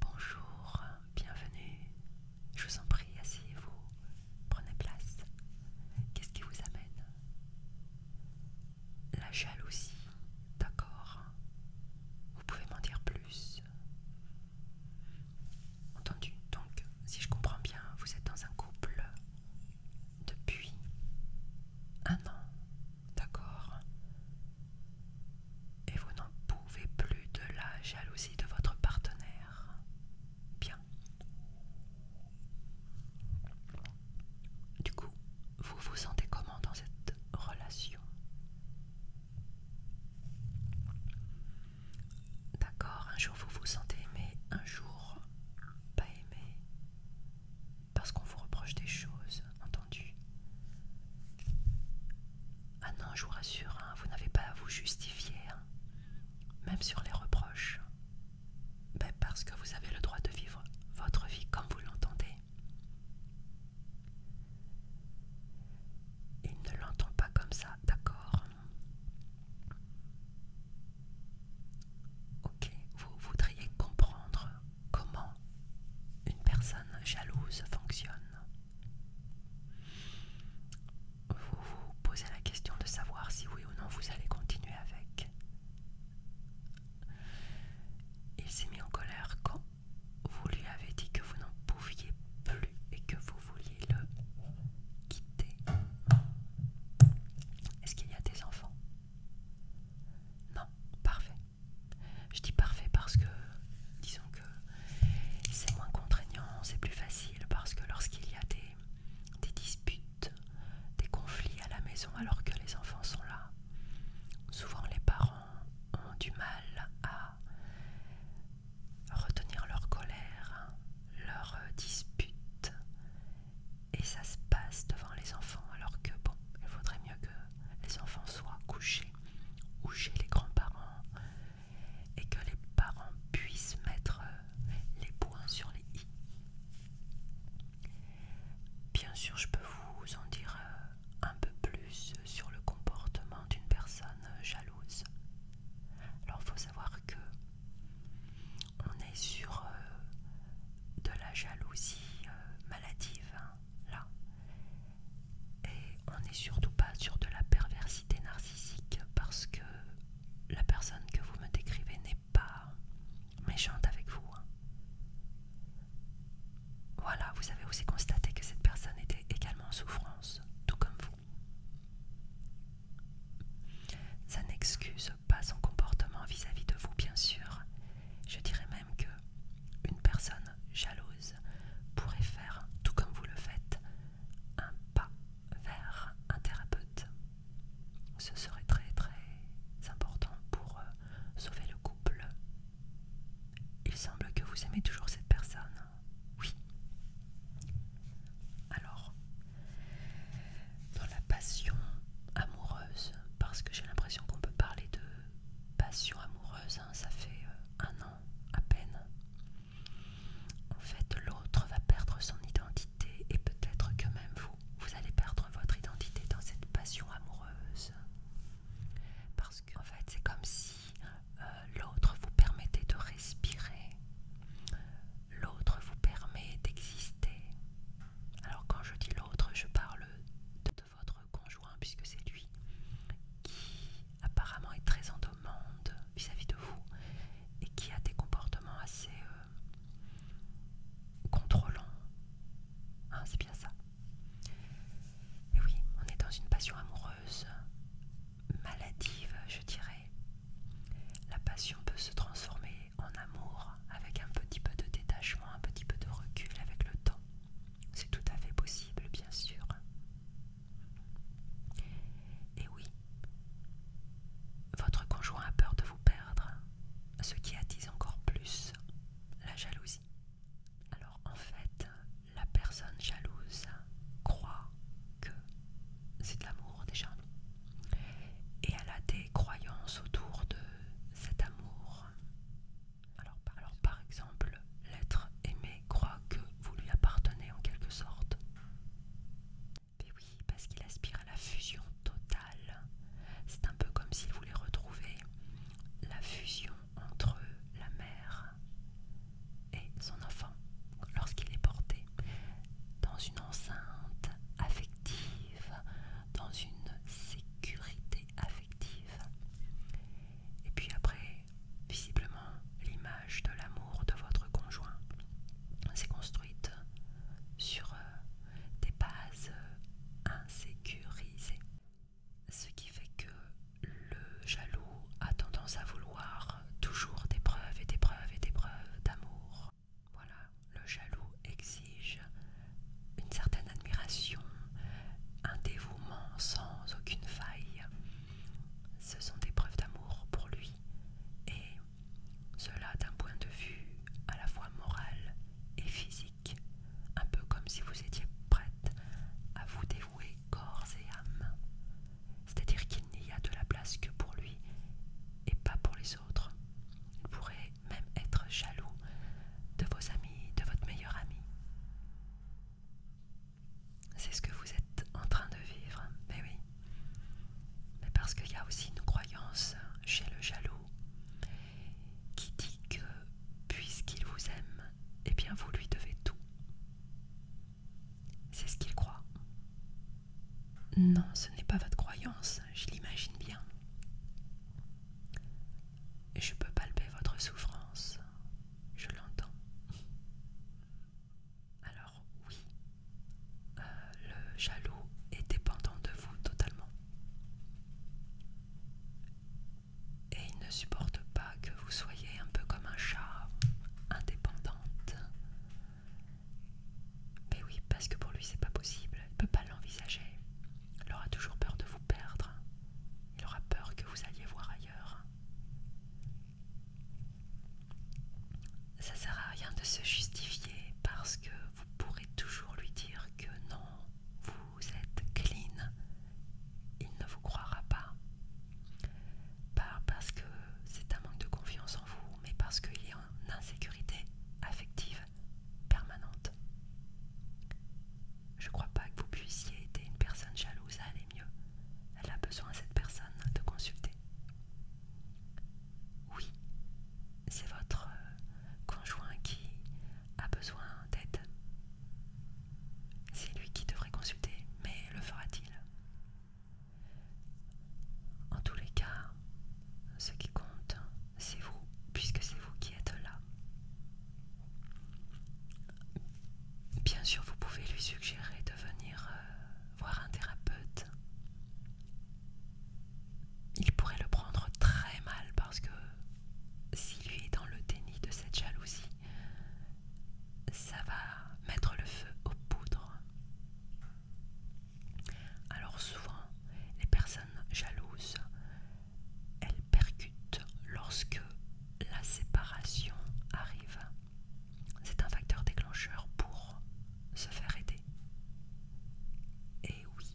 Bonjour, bienvenue. Je vous en prie, asseyez-vous. Prenez place. Qu'est-ce qui vous amène La jalousie, d'accord. Vous pouvez m'en dire plus. Entendu, donc, si je comprends bien, vous êtes dans un couple depuis un an, d'accord Et vous n'en pouvez plus de la jalousie de votre partenaire. Bien. Du coup, vous vous sentez comment dans cette relation D'accord, un jour vous vous sentez aimé, un jour pas aimé. Parce qu'on vous reproche des choses, entendu Ah non, je vous rassure, hein, vous n'avez pas à vous justifier, hein. même sur les reproches. Ben, parce que vous avez le droit de vivre votre vie comme vous l'entendez. Il ne l'entend pas comme ça, d'accord Ok, vous voudriez comprendre comment une personne jalouse fonctionne. Vous vous posez la question de savoir si oui ou non vous allez continuer avec. Il s'est mis en colère quand vous lui avez dit que vous n'en pouviez plus et que vous vouliez le quitter. Est-ce qu'il y a des enfants non, parfait. Je dis parfait parce que, disons que c'est moins contraignant, c'est plus facile parce que lorsqu'il y a des, des disputes, des conflits à la maison alors que les enfants sont là, souvent les parents ont du mal à retenir leur colère, hein, leur euh, dispute et ça se passe devant les enfants alors que bon il faudrait mieux que les enfants soient couchés ou chez les grands-parents et que les parents puissent mettre euh, les points sur les i bien sûr je peux vous en dire euh, un peu plus sur le comportement d'une personne euh, jalouse alors il faut savoir que on est sur euh, de la jalousie euh, maladive, hein, là. Et on n'est surtout pas sur de la perversité narcissique parce que la personne que vous me décrivez n'est pas méchante avec vous. Hein. Voilà, vous avez aussi constaté que cette personne était également en souffrance, tout comme vous. Ça n'excuse pas son comportement vis-à-vis de vous, bien sûr. Je dirais même que une personne jalouse pourrait faire, tout comme vous le faites, un pas vers un thérapeute. Ce serait très très important pour euh, sauver le couple. Il semble que vous aimez toujours cette personne. Oui. Alors, dans la passion amoureuse parce que j'ai l'impression qu'on peut parler de passion amoureuse, hein, ça fait euh, un an à peine. En fait, l'autre va perdre son identité et peut-être que même vous, vous allez perdre votre identité dans cette passion amoureuse. Parce en fait, c'est comme si euh, l'autre vous permettait de respirer, l'autre vous permet d'exister, alors quand je dis l'autre, je parle de, votre conjoint puisque c'est lui qui apparemment est très en demande vis-à-vis de vous et qui a des comportements assez euh, contrôlants. Hein, c'est bien ça. Et oui, on est dans une passion amoureuse maladive, je dirais. La passion peut se transformer en amour avec un petit peu de détachement, un petit peu de recul avec le temps. C'est tout à fait possible, bien sûr. Et oui, votre conjoint a peur de vous perdre, ce qui attise encore plus la jalousie. Alors en fait, la personne jalouse croit que c'est de l'amour déjà. Et elle a des croyances autour de cet amour. Alors, par exemple, l'être aimé croit que vous lui appartenez en quelque sorte. Mais oui, parce qu'il aspire à la fusion totale. C'est un peu comme s'il voulait retrouver la fusion entre la mère et son enfant lorsqu'il est porté dans une enceinte affective dans une sécurité affective. Et puis après, visiblement, l'image de l'amour de votre conjoint s'est construite sur euh, des bases euh, insécurisées. Ce qui fait que le jaloux a tendance à vouloir toujours des preuves et des preuves et des preuves d'amour. Voilà, le jaloux exige une certaine admiration, un dévouement sans aucune faille. Ce sont des preuves d'amour pour lui, et cela d'un point de vue à la fois moral et physique, un peu comme si vous étiez prête à vous dévouer corps et âme. C'est-à-dire qu'il n'y a de la place que pour lui et pas pour les autres. Il pourrait même être jaloux de vos amis, de votre meilleur ami. C'est ce que vous êtes en train de vivre, mais oui. Mais parce qu'il y a aussi une croyance chez le jaloux qui dit que puisqu'il vous aime, et eh bien vous lui devez tout. C'est ce qu'il croit. Non, ce n'est pas votre croyance, je l'imagine bien. Je peux palper votre souffrance, je l'entends. Alors oui, euh, le jaloux est dépendant de vous totalement. Et il ne supporte pas que vous soyez un peu comme un chat, indépendante, mais oui, parce que pour lui c'est pas possible, il peut pas l'envisager. Il aura toujours peur de vous perdre. Il aura peur que vous alliez voir ailleurs. Ça sert à rien de se justifier parce que vous pourrez toujours lui dire que non, vous êtes clean. Il ne vous croira pas. Pas parce que c'est un manque de confiance en vous, mais parce qu'il y a une insécurité affective permanente. Je crois pas que vous puissiez aider une personne jalouse à aller mieux. Elle a besoin, cette personne, de consulter. Oui, c'est votre euh, conjoint qui a besoin d'aide. C'est lui qui devrait consulter, mais le fera-t-il En tous les cas, ce qui compte, c'est vous, puisque c'est vous qui êtes là. Bien sûr, vous pouvez lui suggérer de venir euh, voir un thérapeute. Il pourrait le prendre très mal parce que s'il est dans le déni de cette jalousie, ça va mettre le feu aux poudres. Alors souvent, les personnes jalouses, elles percutent lorsque la séparation arrive. C'est un facteur déclencheur pour se faire aider. Et oui,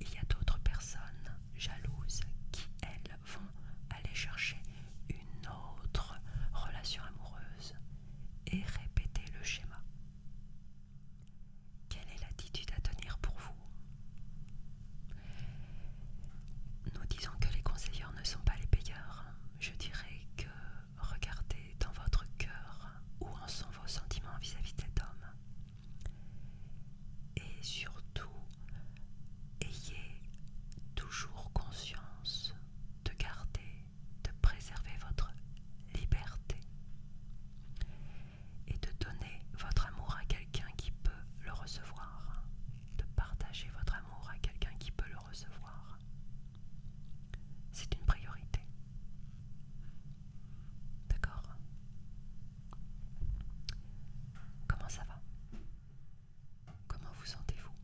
il y a d'autres personnes jalouses qui, elles, vont aller chercher une autre relation amoureuse et répéter le schéma. Quelle est l'attitude à tenir pour vous Nous disons que les conseillers ne sont pas les payeurs. Je dirais que regardez dans votre cœur où en sont vos sentiments vis-à-vis de cet homme. Et surtout, ayez toujours conscience de garder, de préserver votre liberté et de donner votre amour à quelqu'un qui peut le recevoir, de partager votre amour à quelqu'un qui peut le recevoir. C'est une priorité. D'accord Comment ça va Comment vous sentez-vous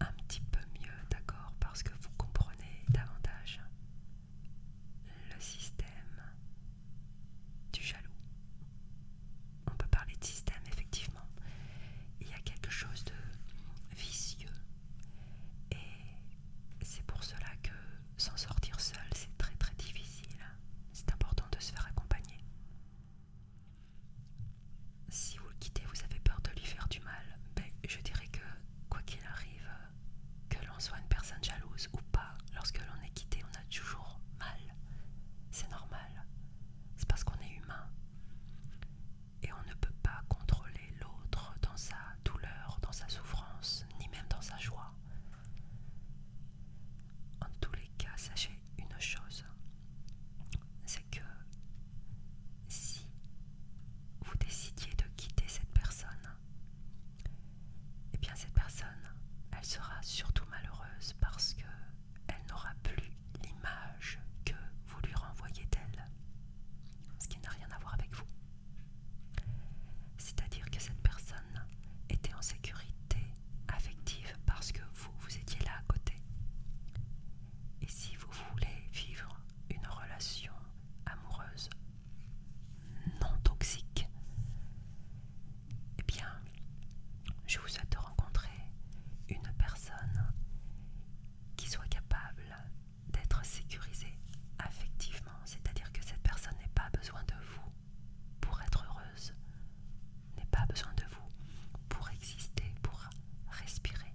Un petit peu mieux, d'accord Parce que vous comprenez davantage le système du jaloux. On peut parler de système, effectivement. Il y a quelque chose de vicieux. Et c'est pour cela que s'en sortir seul, c'est très très difficile. C'est important de se faire accompagner. Si vous le quittez, vous avez peur de lui faire du mal. Ben, je dirais que, quoi qu'il arrive, que l'on soit une personne jalouse ou pas, lorsque l'on est quitté, on a toujours mal. C'est normal. C'est parce qu'on est humain. Et on ne peut pas contrôler l'autre dans sa douleur, dans sa souffrance, ni même dans sa joie. En tous les cas, sachez une chose, c'est que si vous décidiez de quitter cette personne, et eh bien cette personne, elle sera surtout malheureuse parce qu'elle n'aura plus l'image que vous lui renvoyez d'elle, ce qui n'a rien à voir avec vous. C'est-à-dire que cette personne était en sécurité affective parce que vous, vous étiez là à côté. Et si vous voulez vivre une relation amoureuse non toxique. eh bien, je vous souhaite de rencontrer une personne qui soit capable d'être sécurisée affectivement, c'est-à-dire que cette personne n'ait pas besoin de vous pour être heureuse, n'ait pas besoin de vous pour exister, pour respirer,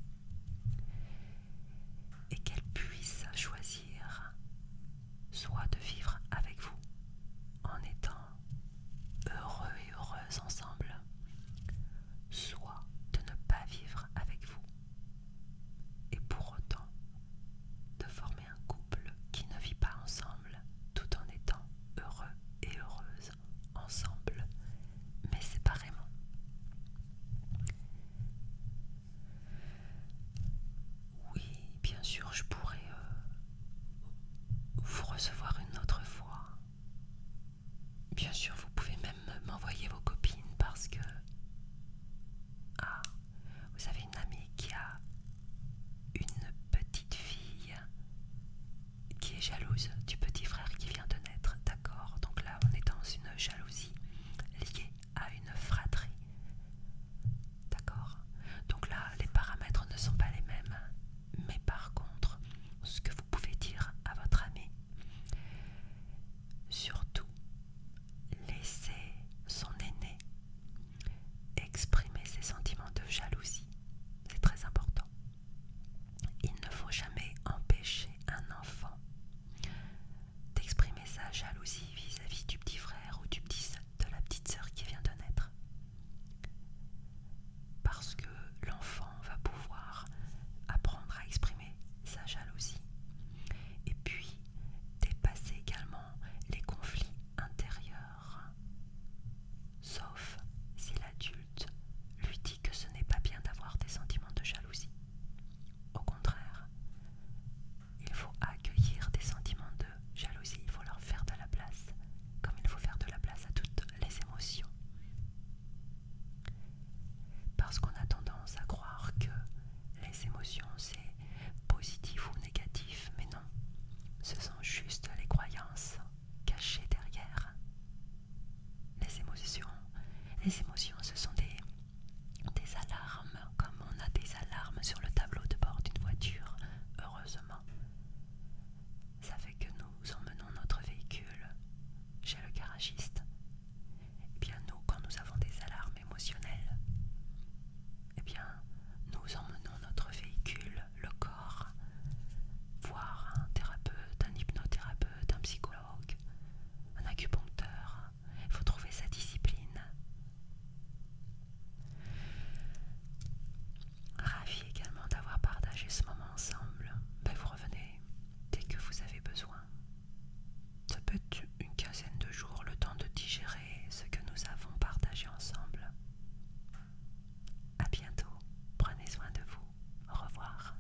et qu'elle puisse choisir soit de vivre avec vous en étant heureux et heureuse ensemble, soit de ne pas vivre avec vous et pour autant de former un couple qui ne vit pas ensemble tout en étant heureux et heureuse ensemble mais séparément. Oui, bien sûr, je pourrais euh, vous recevoir une autre fois. Bien sûr, vous pouvez même m'envoyer vos copines parce que... Ah, vous avez une amie qui a une petite fille qui est jalouse du petit frère qui vient de naître, d'accord Donc là, on est dans une jalousie liée à une fratrie. D'accord Donc là, les paramètres ne sont pas les mêmes. Mais par contre, ce que vous pouvez dire à votre ami, surtout, laissez son aîné exprimer ses sentiments de jalousie. C'est très important. Il ne faut jamais empêcher un enfant d'exprimer sa jalousie vis-à-vis du petit frère ou du petit, de la petite sœur qui vient de naître. Parce que l'enfant va pouvoir apprendre à exprimer sa jalousie et puis dépasser également les conflits intérieurs. Sauf si l'adulte lui dit que ce n'est pas bien d'avoir des sentiments de jalousie. Au contraire, il faut accueillir des sentiments de jalousie, il faut leur faire de la place, comme il faut faire de la place à toutes les émotions. Parce qu'on a tendance à croire que les émotions c'est positif ou négatif, mais non, ce sont juste les croyances cachées derrière. Les émotions, les émotions ce sont des des alarmes, comme on a des alarmes sur le tableau de bord d'une voiture, heureusement. Ça fait que nous emmenons notre véhicule chez le garagiste. et eh bien nous, quand nous avons des alarmes émotionnelles, eh bien nous emmenons notre véhicule, le corps, voir un thérapeute, un hypnothérapeute, un psychologue, un acupuncteur, il faut trouver sa discipline. Ravi également d'avoir partagé ce moment ensemble. Ben, vous revenez dès que vous avez besoin. Ça peut être une quinzaine de jours, le temps de digérer ce que nous avons partagé ensemble. À bientôt. Prenez soin de vous. Au revoir.